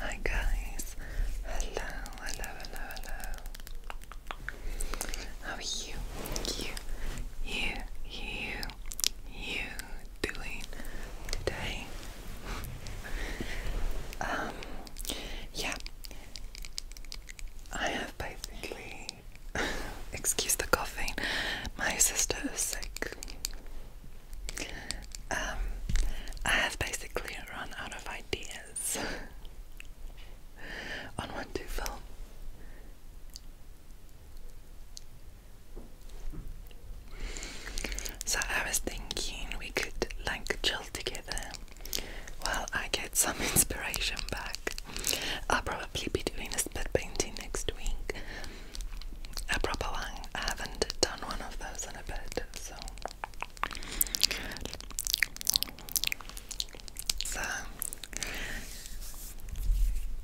Hi guys, hello, hello, hello, hello. How are you, you, you, you, you doing today? um, yeah, I have basically, excuse the coughing, my sister is sick. Um, I have basically run out of ideas on what to film. So I was thinking we could like chill together while I get some inspiration back. I'll probably be doing a spit painting next week. A proper one. I haven't done one of those in a bit, so so,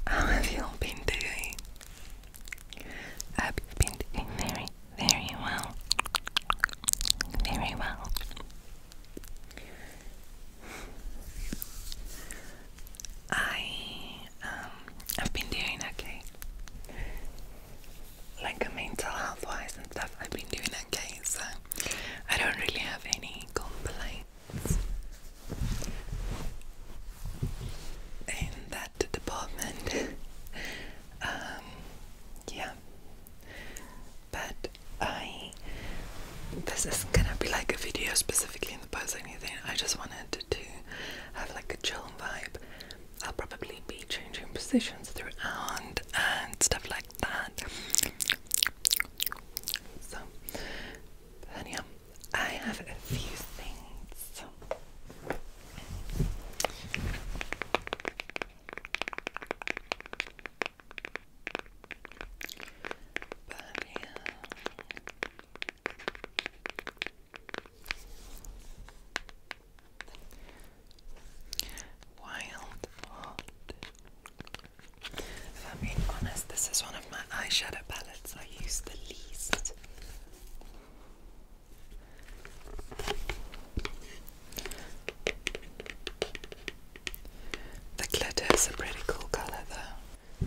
how have you been doing? I have been doing very, very well. Very well. I um I've been doing okay like a mental health wise and stuff, I've been doing okay, so I don't really have any complaints in that department. Um, yeah, but I this isn't gonna be like a video specifically in the post or anything. I just wanted to have like a chill vibe I'll probably be changing positions throughout and stuff like that. So, then I have a few things. But yeah. Wild If I'm being honest, this is one of my eyeshadow palettes I use the least. The glitter is a pretty cool colour though.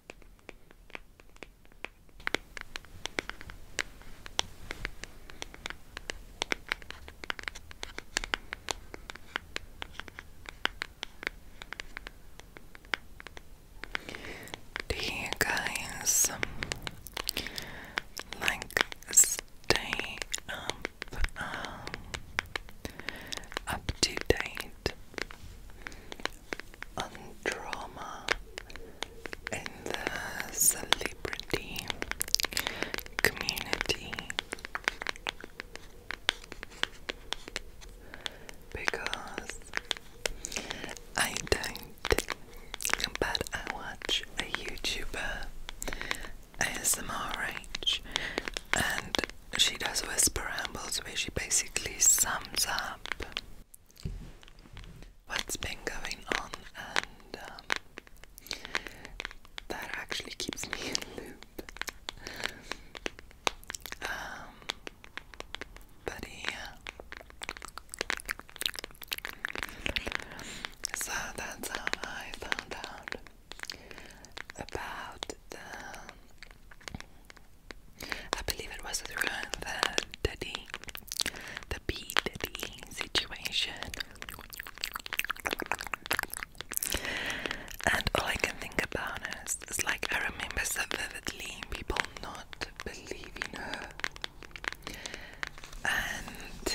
Do you guys like stay up um, up and drama in the celebrity community because I don't, but I watch a YouTuber ASMRH and she does whisper rambles where she basically sums up what's been going on, and um, that actually keeps me in loop. Um, but yeah, so that's how I found out about the I believe it was through the daddy, the bee daddy situation. And all I can think about is, is like I remember so vividly people not believing her. And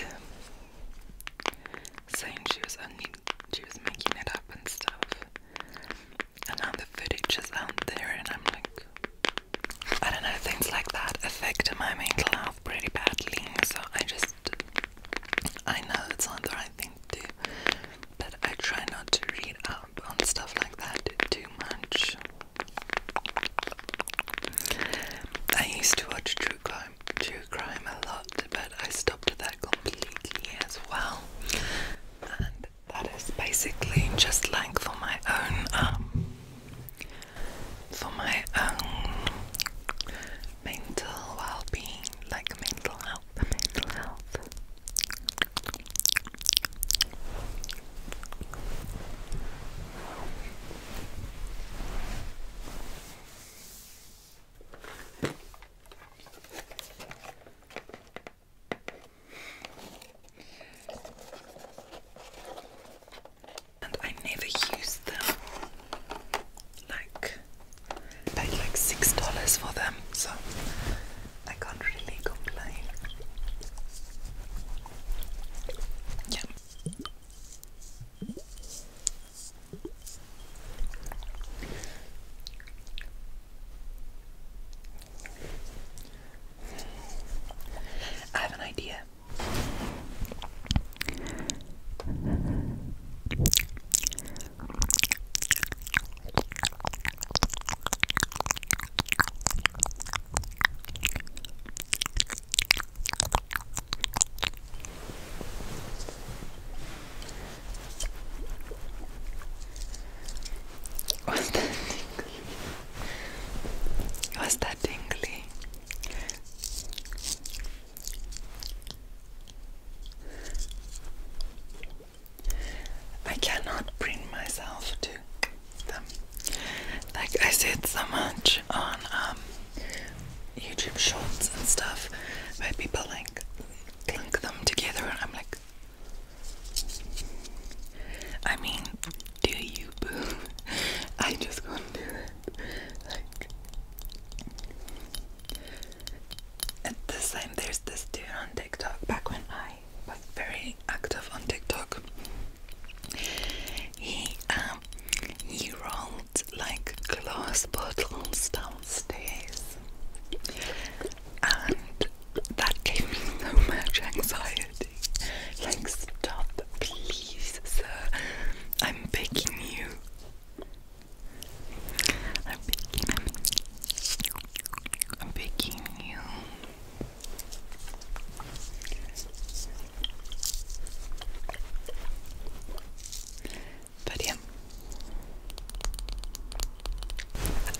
saying she was only she was making it up and stuff and now the footage is out there, and I'm like, I don't know, things like that affect my mental health pretty badly. So I just, I know it's not the right thing to do, but I try not to read up on stuff like that too much. I used to watch true crime, true crime a lot, but I stopped that completely as well that is basically just like for my own um for my own mental well-being, like mental health, mental health. And I never use them. Like paid like six dollars for them, so I can't really complain. Yeah. I have an idea. What's that? Was that tingly? I cannot bring myself to them. Like I said so much on um, YouTube shorts and stuff where people like link them together and I'm like I mean, do you I just gonna do it. at this time there's this dude on TikTok back when I was very active on TikTok. He um he rolled like glass bottles downstairs and that gave me so much anxiety. Like, stop, please, sir. I'm begging you. I'm begging, i I'm begging you. But yeah.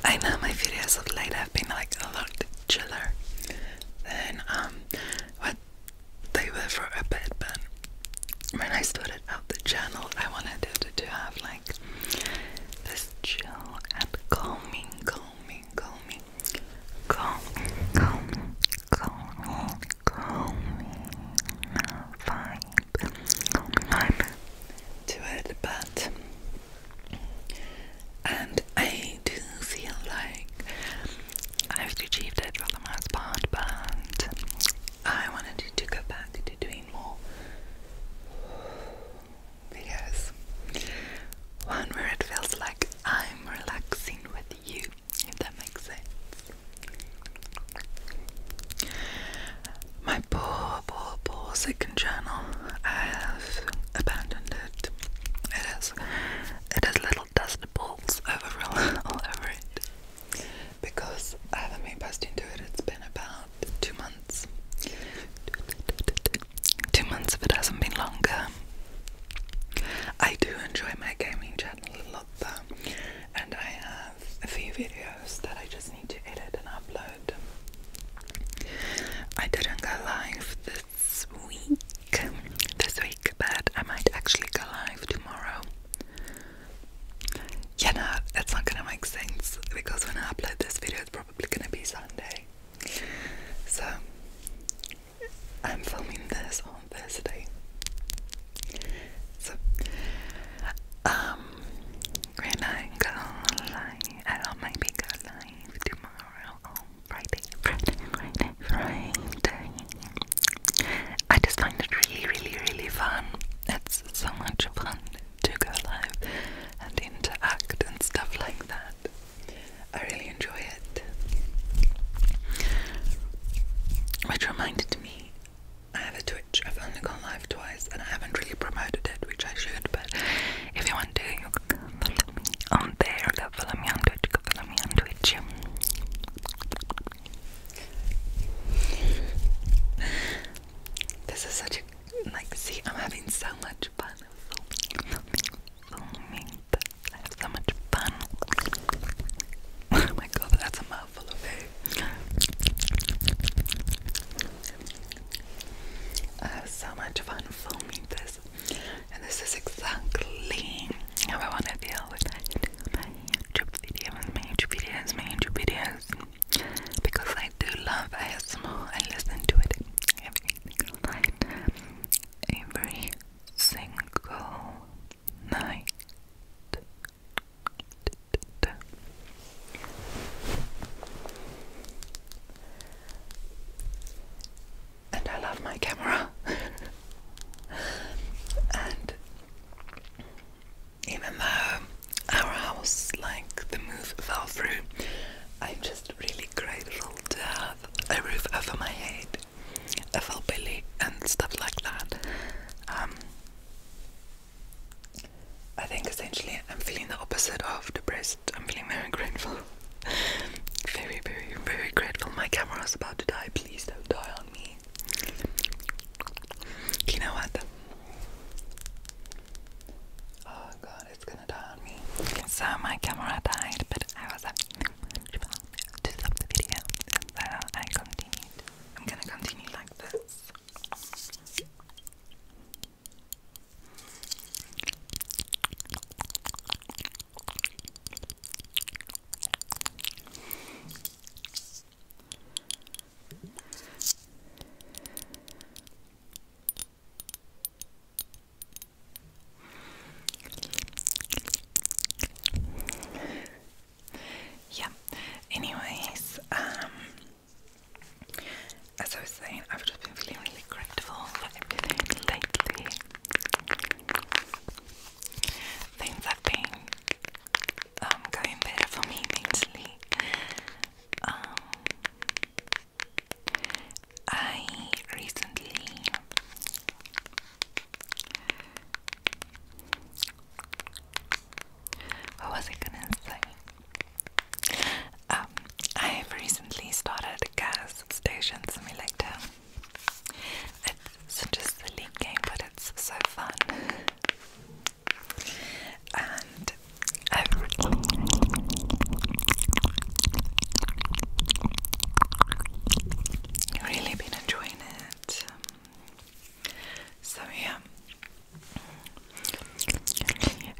I know my videos of late have been like a lot chiller than um what they were for a bit but when I started out the channel I wanted it to, to have like this chill and calming calming calming calm calming calming calming vibe, vibe to it but and I do feel like I've achieved it for the most part, but I wanted to, go back to doing more because One where it feels like I'm relaxing with you, if that makes sense. My poor, poor, poor second channel has abandoned it. It has, it has little dust balls over all over Because I haven't been posting to it, it's been about two months. Two months if it hasn't been longer. I do enjoy my gaming channel a lot though, and I have a few videos that I just need to edit and upload. I didn't go live this week, this week, but I might actually go live tomorrow. Yeah, no, it's not gonna make sense because when I upload this video, it's probably gonna be Sunday. So I'm filming this on Thursday. So, um, when I go live, I might be go live tomorrow. Friday, Friday, Friday, I just find it really, really, really fun. It's so much fun to go live and interact and stuff like that. I really enjoy it. Which reminded me, I have a Twitch. I've only gone live twice and I haven't really promoted it, which I should, but if you want to, you on there, love. me on Twitch. Follow me on Twitch. This is such a like. See, I'm having so much fun. so much fun. Oh my god, that's a mouthful of food. I uh, have so much fun filming this, and this is exactly how I want to deal with it. my YouTube videos, my YouTube videos, my YouTube videos, because I do love ASMR. I listen to it every single night, every single night and I love my camera. and even though our house, like the move, fell through, I'm just really grateful to have a roof over my head, a full belly, and stuff like that. Um, I think essentially I'm feeling the opposite of depressed I'm feeling very grateful. very, very, very grateful. My camera is about to die. Please don't die on me. You know what? Oh god, it's gonna die on me. Okay, so my camera died, but I was able to stop the video, I continued. I'm gonna continue like this. Yeah. Anyways, um, as I was saying, I've just been feeling really grateful for everything lately. Things that been um, going better for me mentally. Um, I recently what was I gonna say? Um, I have recently started gas stations simulator. It's just a league game, but it's so fun. And I've written. Really been enjoying it. so yeah,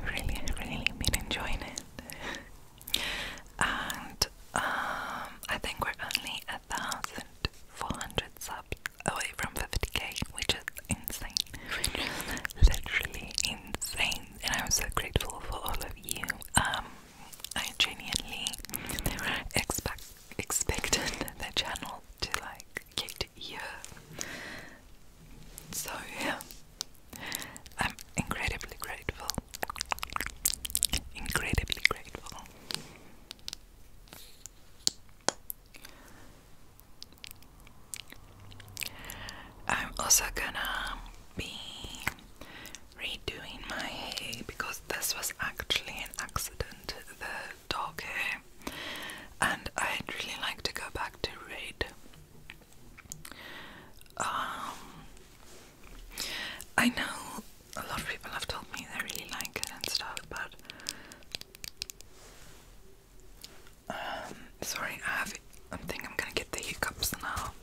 really, really been enjoying it and um, I think we're only a thousand four hundred subs away from 50k, which is insane, which is literally insane. And I'm so grateful for all of you. Um, I genuinely expect expected the channel to like get here. So yeah. I'm incredibly grateful. Incredibly grateful. I'm also gonna be redoing my hair because this was actually an accident, the dog and I'd really like to go back to red. Um, I know a lot of people have told me they really like it and stuff, but um, sorry, I have. I think I'm gonna get the hiccups now.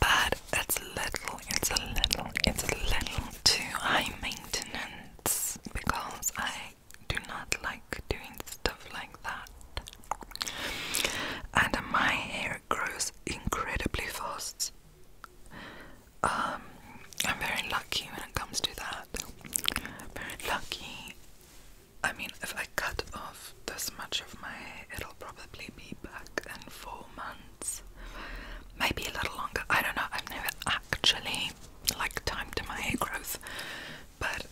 But it's little, it's a little, it's a little too high maintenance because I I do not like doing stuff like that. And my hair grows incredibly fast. Um, I'm very lucky when it comes to that. Very lucky. I mean, if I cut off this much of my hair, it'll probably be back in four months. Maybe a little longer. I don't know. I've never actually like timed my hair growth but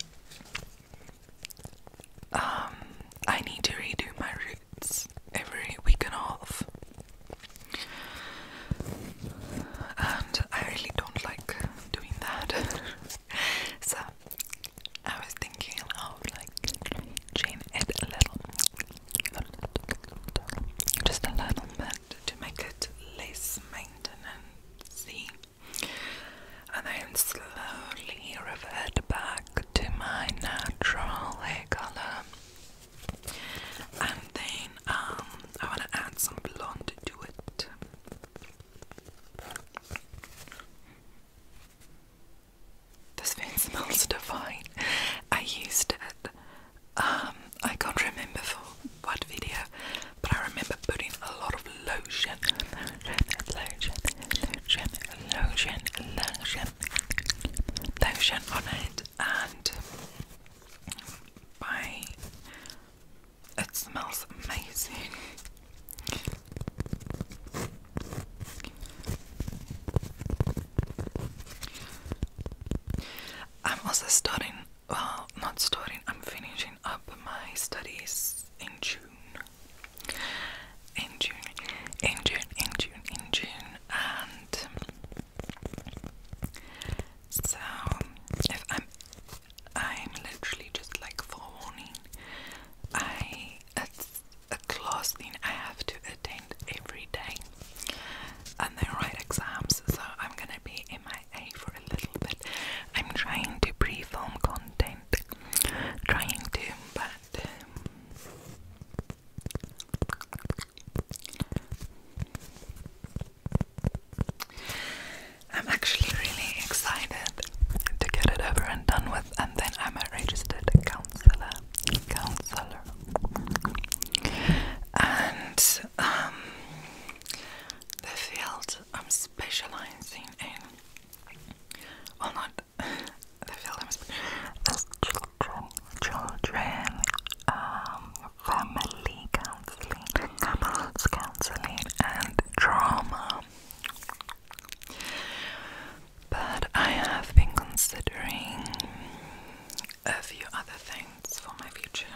um, I need to redo my roots every week and a half, and I really don't like doing that. so I was thinking of like changing it a little, just a little bit to make it less maintenance and then slowly revert back to my natural hair color. And then um, I want to add some blonde to it. This thing smells divine. I used it. Um, I can't remember for what video, but I remember putting a lot of lotion, lotion, lotion, lotion, lotion, on it, and by it smells amazing. I'm also starting well, not starting, I'm finishing up my studies in June. In June, in June, in June, in June, and so if I'm, I'm literally just like forewarning. I it's a class thing I have to attend every day, and they write exams, so I'm gonna be MIA for a little bit. I'm trying to pre content, trying to, but um, I'm actually really excited to get it over and done with, and then I'm a registered counselor. Counselor. And um, the field I'm specializing in, well, not the films, children, children, um, family counseling, couples counseling, and trauma. But I have been considering a few other things for my future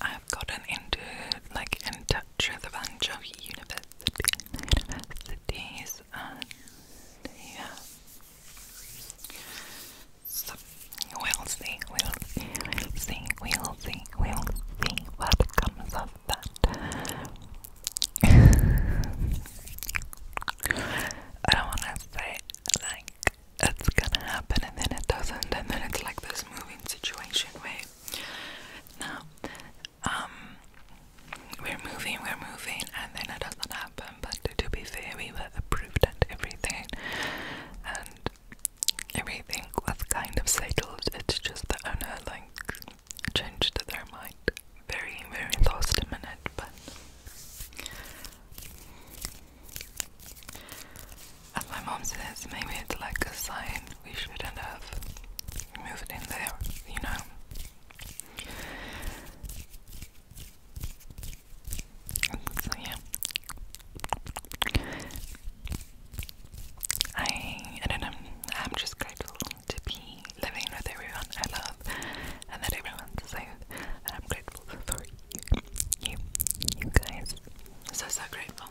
I've gotten into like in touch with a bunch of university universities and we'll see, we'll see, we'll see, we'll see what comes of that. I don't wanna say like like it's gonna happen and then it doesn't and then it's like this moving situation right now um we're moving we're moving and then it doesn't happen but to be fair we were approved and everything and everything was kind of settled it's just the owner like changed their mind very very lost a minute but as my mom says, maybe it's like a sign we shouldn't have moved in there, you know. So yeah. I I do I'm just grateful to be living with everyone I love and that everyone's safe and I'm grateful for you, you guys. So, so grateful.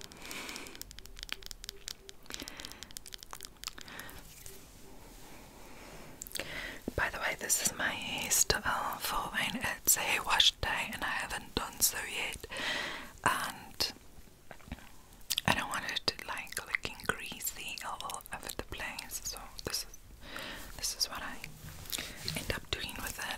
By the way, this is my Easter for when it's hair wash day and I haven't done so yet. And I don't want it to like looking greasy all over the place. So this is this is what I end up doing with it.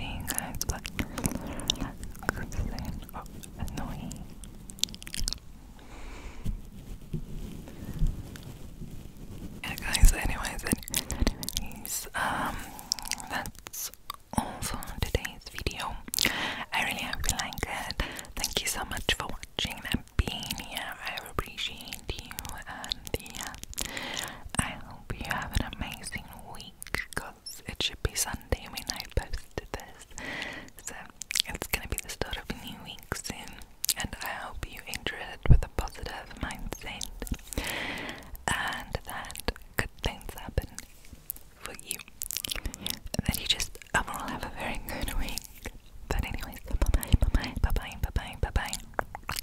you guys like saying annoying. Yeah guys anyways um that's all for today's video. I really hope you like it. Thank you so much for watching and being here. I appreciate you and yeah I hope you have an amazing week because it should be Sunday when I posted this. So it's gonna be the start of a new week soon, and I hope you enjoy it with a positive mindset and that good things happen for you. that you just overall have a very good week. But anyways, bye bye, bye bye, bye bye, bye bye, bye bye.